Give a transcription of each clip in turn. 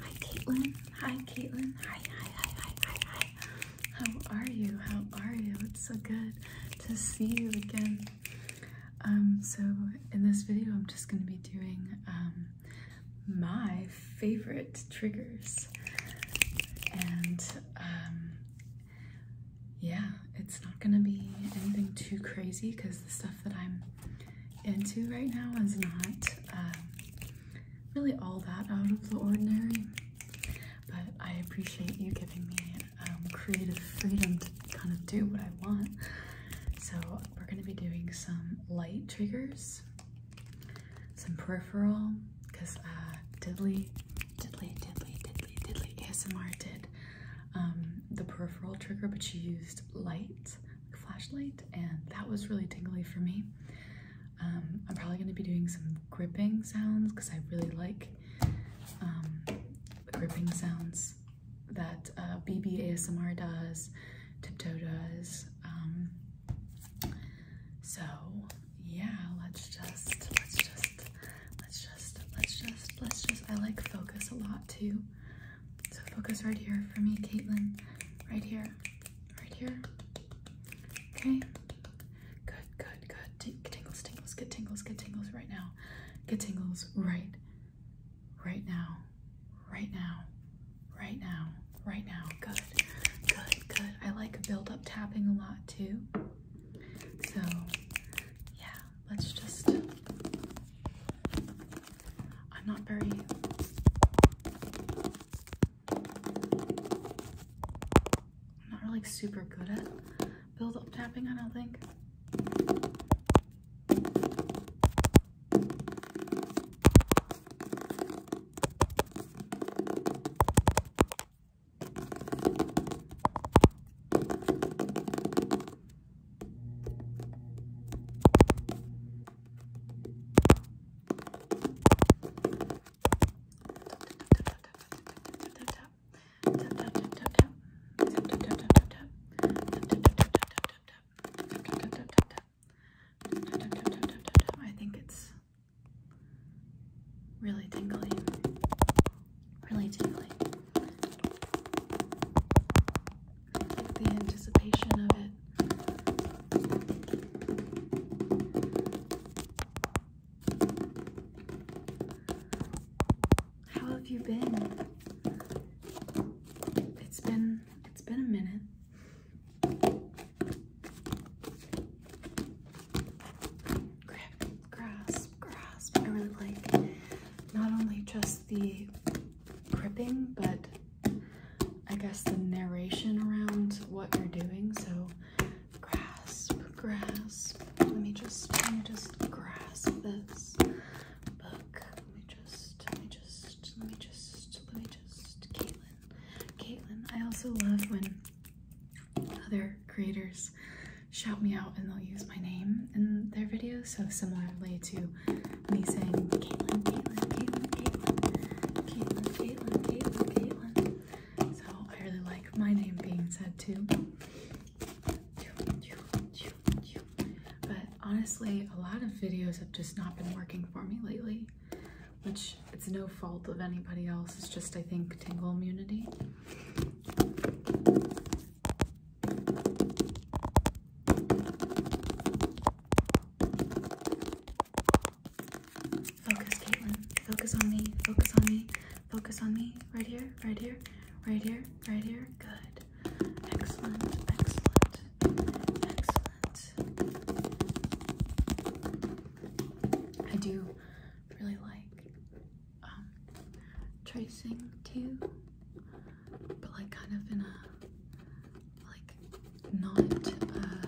Hi Caitlin. Hi Caitlin. Hi, hi, hi, hi, hi, How are you? How are you? It's so good to see you again. Um, so in this video I'm just gonna be doing um my favorite triggers. And um yeah, it's not gonna be anything too crazy because the stuff that I'm into right now is not um, really all that out of the ordinary, but I appreciate you giving me um, creative freedom to kind of do what I want. So, we're going to be doing some light triggers, some peripheral, because Didley, uh, Didley, Didley, Didley, Didley, Diddly ASMR did um, the peripheral trigger, but she used light flashlight and that was really tingly for me. Um, I'm probably going to be doing some gripping sounds because I really like um, gripping sounds that uh, BB ASMR does, Tiptoe does. Um, so yeah, let's just, let's just, let's just, let's just, let's just, I like focus a lot too. So focus right here for me, Caitlin. Right here. Right here. Okay. Good, good, good. T tingles, tingles, get tingles, get tingles right now. Get tingles right. Right now. Right now. Right now. Right now. Good. Good, good. I like build up tapping a lot too. So yeah, let's just. I'm not very. not really super good at build up tapping, I don't think. I think it's really tingly, really tingly the anticipation of it. How have you been? It's been it's been a minute. Grab grass grasp, grasp. I really like not only just the gripping, but I guess the narration around what you're doing. So grasp, grasp. Let me just, let me just grasp this book. Let me just, let me just, let me just, let me just, Caitlin, Caitlin. I also love when other creators shout me out and they'll use my name in their videos. So similarly to me saying Caitlin, Caitlin, Caitlin, Caitlin, Caitlin, Caitlin, Caitlin, Caitlin. So I really like my name being said too. But honestly, a lot of videos have just not been working for me lately, which it's no fault of anybody else. It's just, I think, tingle immunity. Focus, Caitlin. Focus on me. Focus on me. Focus on me. Right here. Right here. Right here. Right here. Good. Excellent. Excellent. Excellent. I do really like um, tracing too, but like kind of in a like not uh,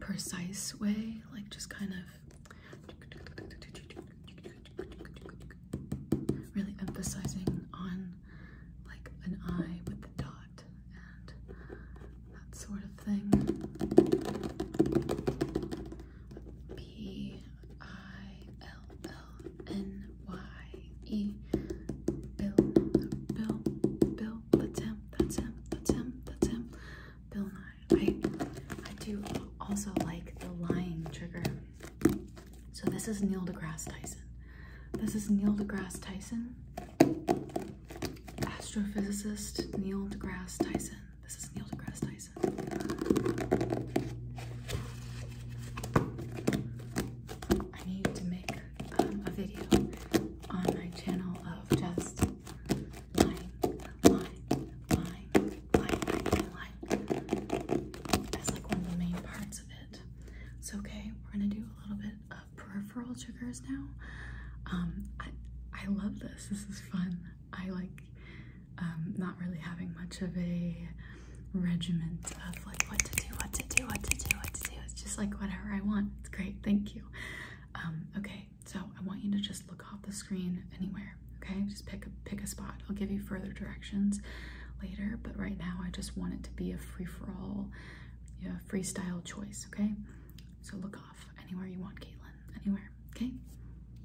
precise way, like just kind of really emphasizing on like an eye with the dot and that sort of thing. M-I-L-L-N-Y-E. Bill, Bill, Bill, that's him, that's him, that's him, that's him. Bill Nye. I, I do also like the lying trigger. So this is Neil deGrasse Tyson. This is Neil deGrasse Tyson, astrophysicist Neil deGrasse Tyson. This is Neil deGrasse Tyson. I need to make um, a video on my channel of just lying, lying, lying, lying, lying, That's like one of the main parts of it. So okay, we're gonna do a little bit of peripheral triggers now. Um, I I love this. This is fun. I like um, not really having much of a regiment of like what to do, what to do, what to do, what to do. It's just like whatever I want. It's great. Thank you. Um, okay, so I want you to just look off the screen anywhere. Okay, just pick a pick a spot. I'll give you further directions later, but right now I just want it to be a free-for-all, you freestyle choice, okay? So look off anywhere you want, Caitlin. Anywhere, okay?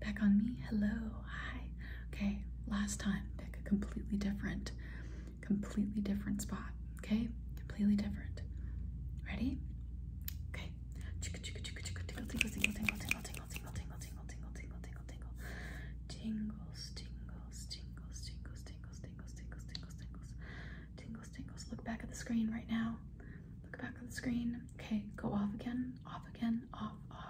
Back on me. Hello. Hi. Okay. Last time, pick a completely different, completely different spot. Okay? Completely different. Ready? Okay. Tingle, tingle, tingle, tingle, tingle, tingle, tingle, tingle, tingle, tingle, tingle, tingle, tingle, tingle, tingle, tingle. Tingles, tingles, tingles, tingles, tingles, tingles, tingles, tingles, tingles. Tingles, tingles. Look back at the screen right now. Look back at the screen. Okay, go off again, off again, off, off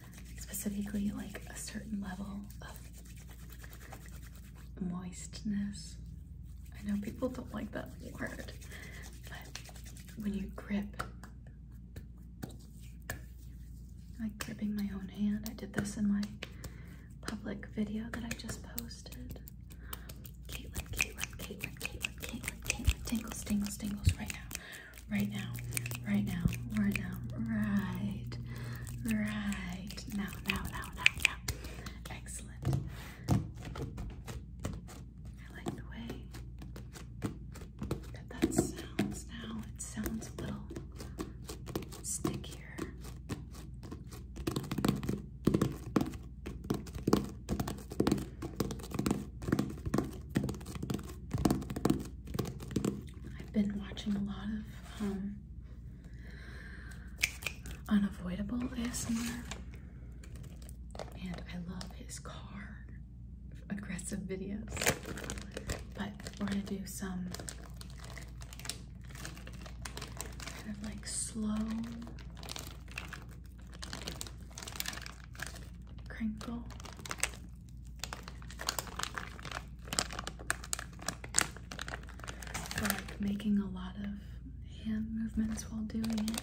specifically like a certain level of moistness. I know people don't like that word, but when you grip, like gripping my own hand, I did this in my public video that I just posted. Caitlin, Caitlin, Caitlin, Caitlin, Caitlin, Caitlin, tingles, tingles, tingles right now right now, right now, right now, right, right now, now, now, now, now. Excellent. I like the way that that sounds now. It sounds a little stickier. I've been watching a lot of um, unavoidable ASMR, and I love his car aggressive videos. But we're gonna do some kind of like slow crinkle like making a lot of hand movements while doing it.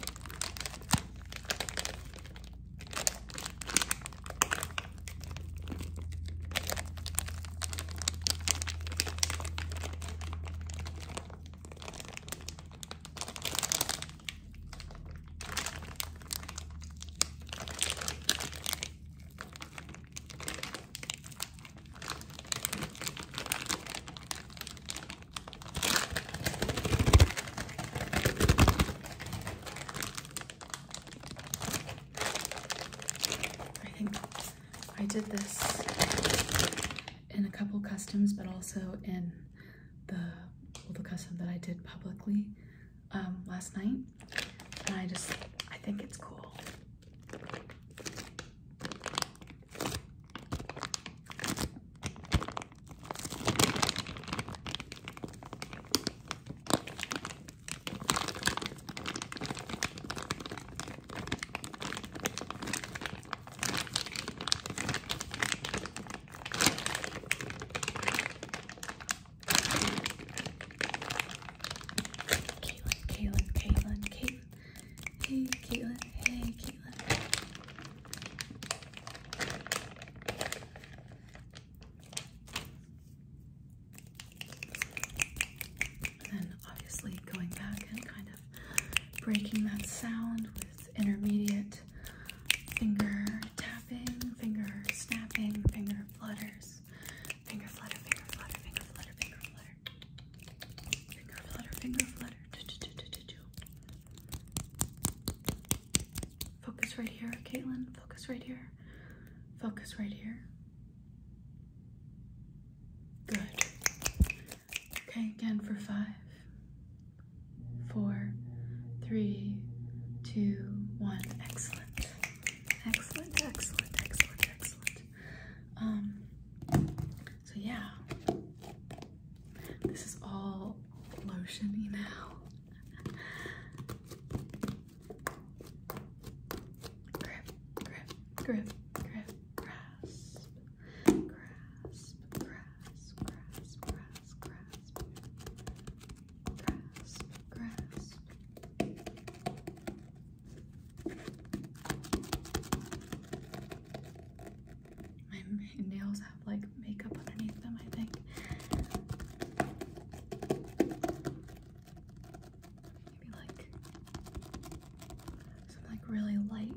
I think I did this in a couple customs, but also in the well, the custom that I did publicly um, last night, and I just I think it's cool. Caitlin, Caitlin, Caitlin, Caitlin. Hey, Caitlin, hey, Caitlin. And then obviously going back and kind of breaking that sound with intermediate finger tapping, finger snapping, finger flutters, finger flutter, finger flutter, finger flutter, finger flutter, finger flutter, finger flutter. Focus right here, Caitlin. Focus right here. Focus right here. Good. Okay, again for five, four, three, two, one. Excellent. Excellent, excellent, excellent, excellent. Um, so yeah. This is all lotiony now. grip, grip, grip, grip, grasp grasp, My nails have like makeup underneath them, I think. Maybe like some like really light.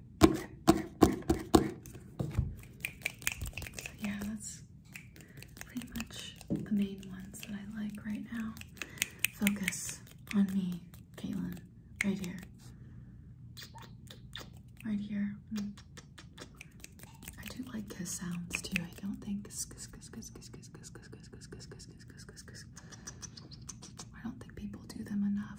So yeah, that's pretty much the main ones that I like right now. Focus on me, Caitlin, right here. Right here. Mm. I do like kiss sounds too. I don't think kiss kiss kiss kiss kiss kiss kiss kiss kiss kiss kiss kiss kiss kiss kiss kiss. I don't think people do them enough.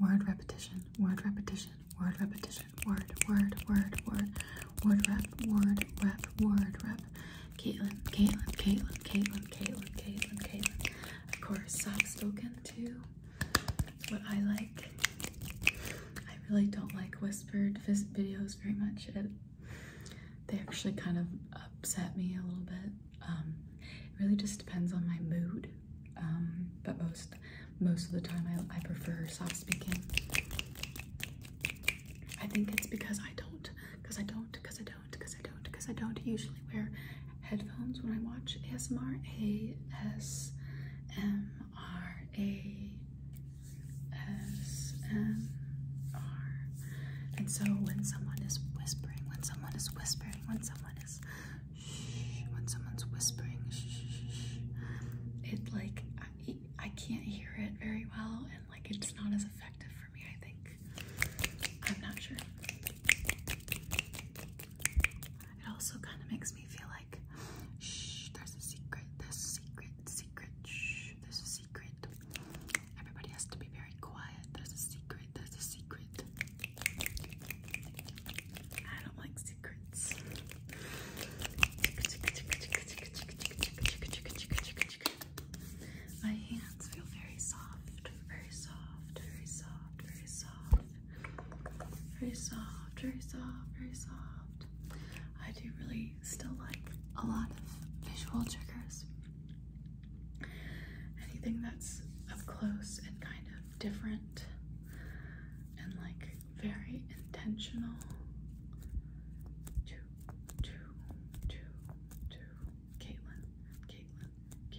Word repetition, word repetition, word repetition, word, word, word, word, word rep, word rep, word rep. Caitlin, Caitlin, Caitlin, Caitlin, Caitlin, Caitlin, Caitlin. Of course, soft spoken too. That's what I like. I really don't like whispered videos very much. It, they actually kind of upset me a little bit. Um, it really just depends on my mood. Um, but most most of the time I, I prefer soft speaking. I think it's because I don't, because I don't, because I don't, because I don't, because I don't usually wear headphones when I watch ASMR. A S M R A S M R. And so when someone is whispering, when someone is whispering, when someone is when someone's whispering, shh, it like I, can't hear it very well, and like it's not as effective for me. I think I'm not sure. It also kind of makes me feel like shh, there's a secret, there's a secret, secret, there's a secret. Everybody has to be very quiet. There's a secret. That's a secret. I don't like secrets. My hands feel very soft, very soft, very soft, very soft, very soft, very soft, very soft. I do really still like a lot of visual triggers. Anything that's up close and kind of different and like very intentional. To, to, to, to. Caitlin, Caitlin,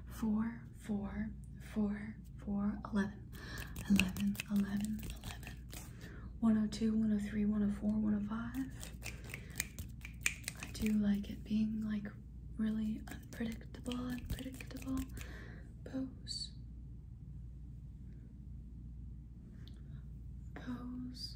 One one one one two, three, four, five. I do like it being like really unpredictable, unpredictable pose. Pose,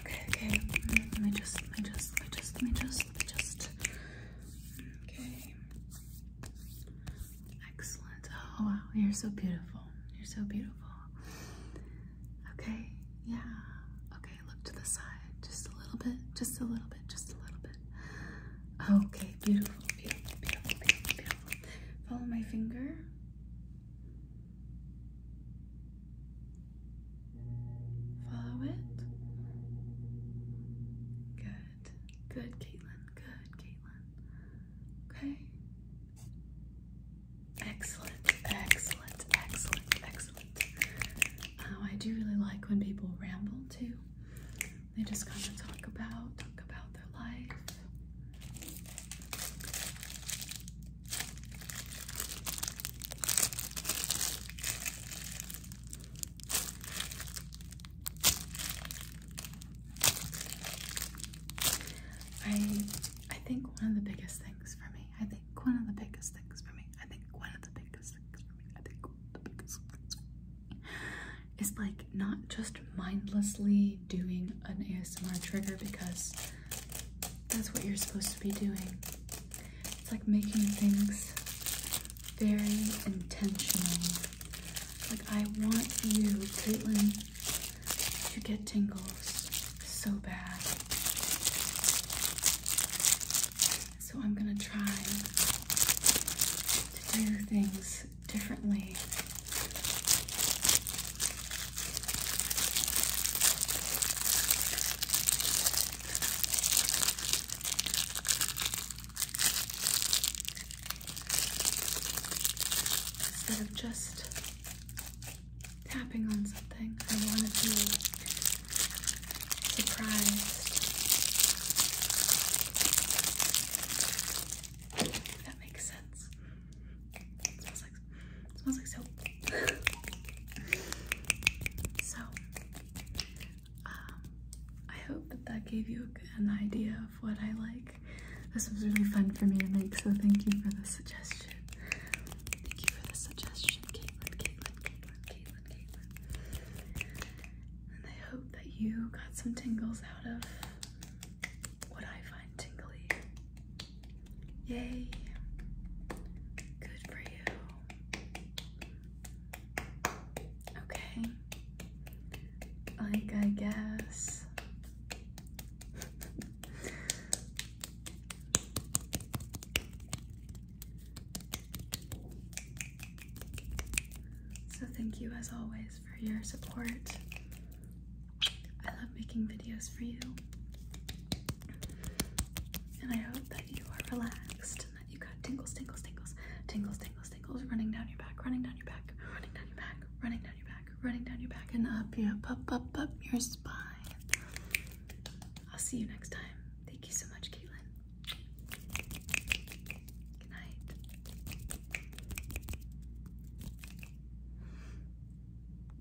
Okay, okay. Let me just, let me just, let me just, let me just, let me just. Okay. Excellent. Oh wow, you're so beautiful. You're so beautiful. Okay, yeah. Okay, look to the side just a little bit, just a little bit, just a little bit. Okay, beautiful, beautiful, beautiful, beautiful, beautiful. Follow my finger. Follow it. Good. Good, Caitlin. Good, Caitlin. Okay. Excellent, excellent, excellent, excellent. Um, I do really like when people ramble too. They just kind of talk about, talk about their life. I I think one of the biggest things for me, I think one of the biggest things for me, I think one of the biggest things for me, I think one of the biggest things for me is like not just mindlessly doing an ASMR trigger because that's what you're supposed to be doing. It's like making things very intentional. Like, I want you, Caitlin, to get tingles so bad. So, I'm gonna try to do things differently. Instead of just tapping on something, I want to be surprised. that makes sense smells like soap. so, um, I hope that that gave you an idea of what I like. This was really fun for me to make, so thank you for the suggestion. Thank you for the suggestion, Caitlin, Caitlin, Caitlin, Caitlin, Caitlin. And I hope that you got some tingles out of what I find tingly. Yay. Good for you. Okay. Like, I guess. so, thank you as always for your support. I love making videos for you. And I hope that you are relaxed and that you got tingles, tingles, tingles, tingles, tingles, tingles running down your back, running down your back, running down your back, running down your back, running down your back, and up, yeah, up, up, up your spine. I'll see you next time. Thank you so much, Caitlin. Good night.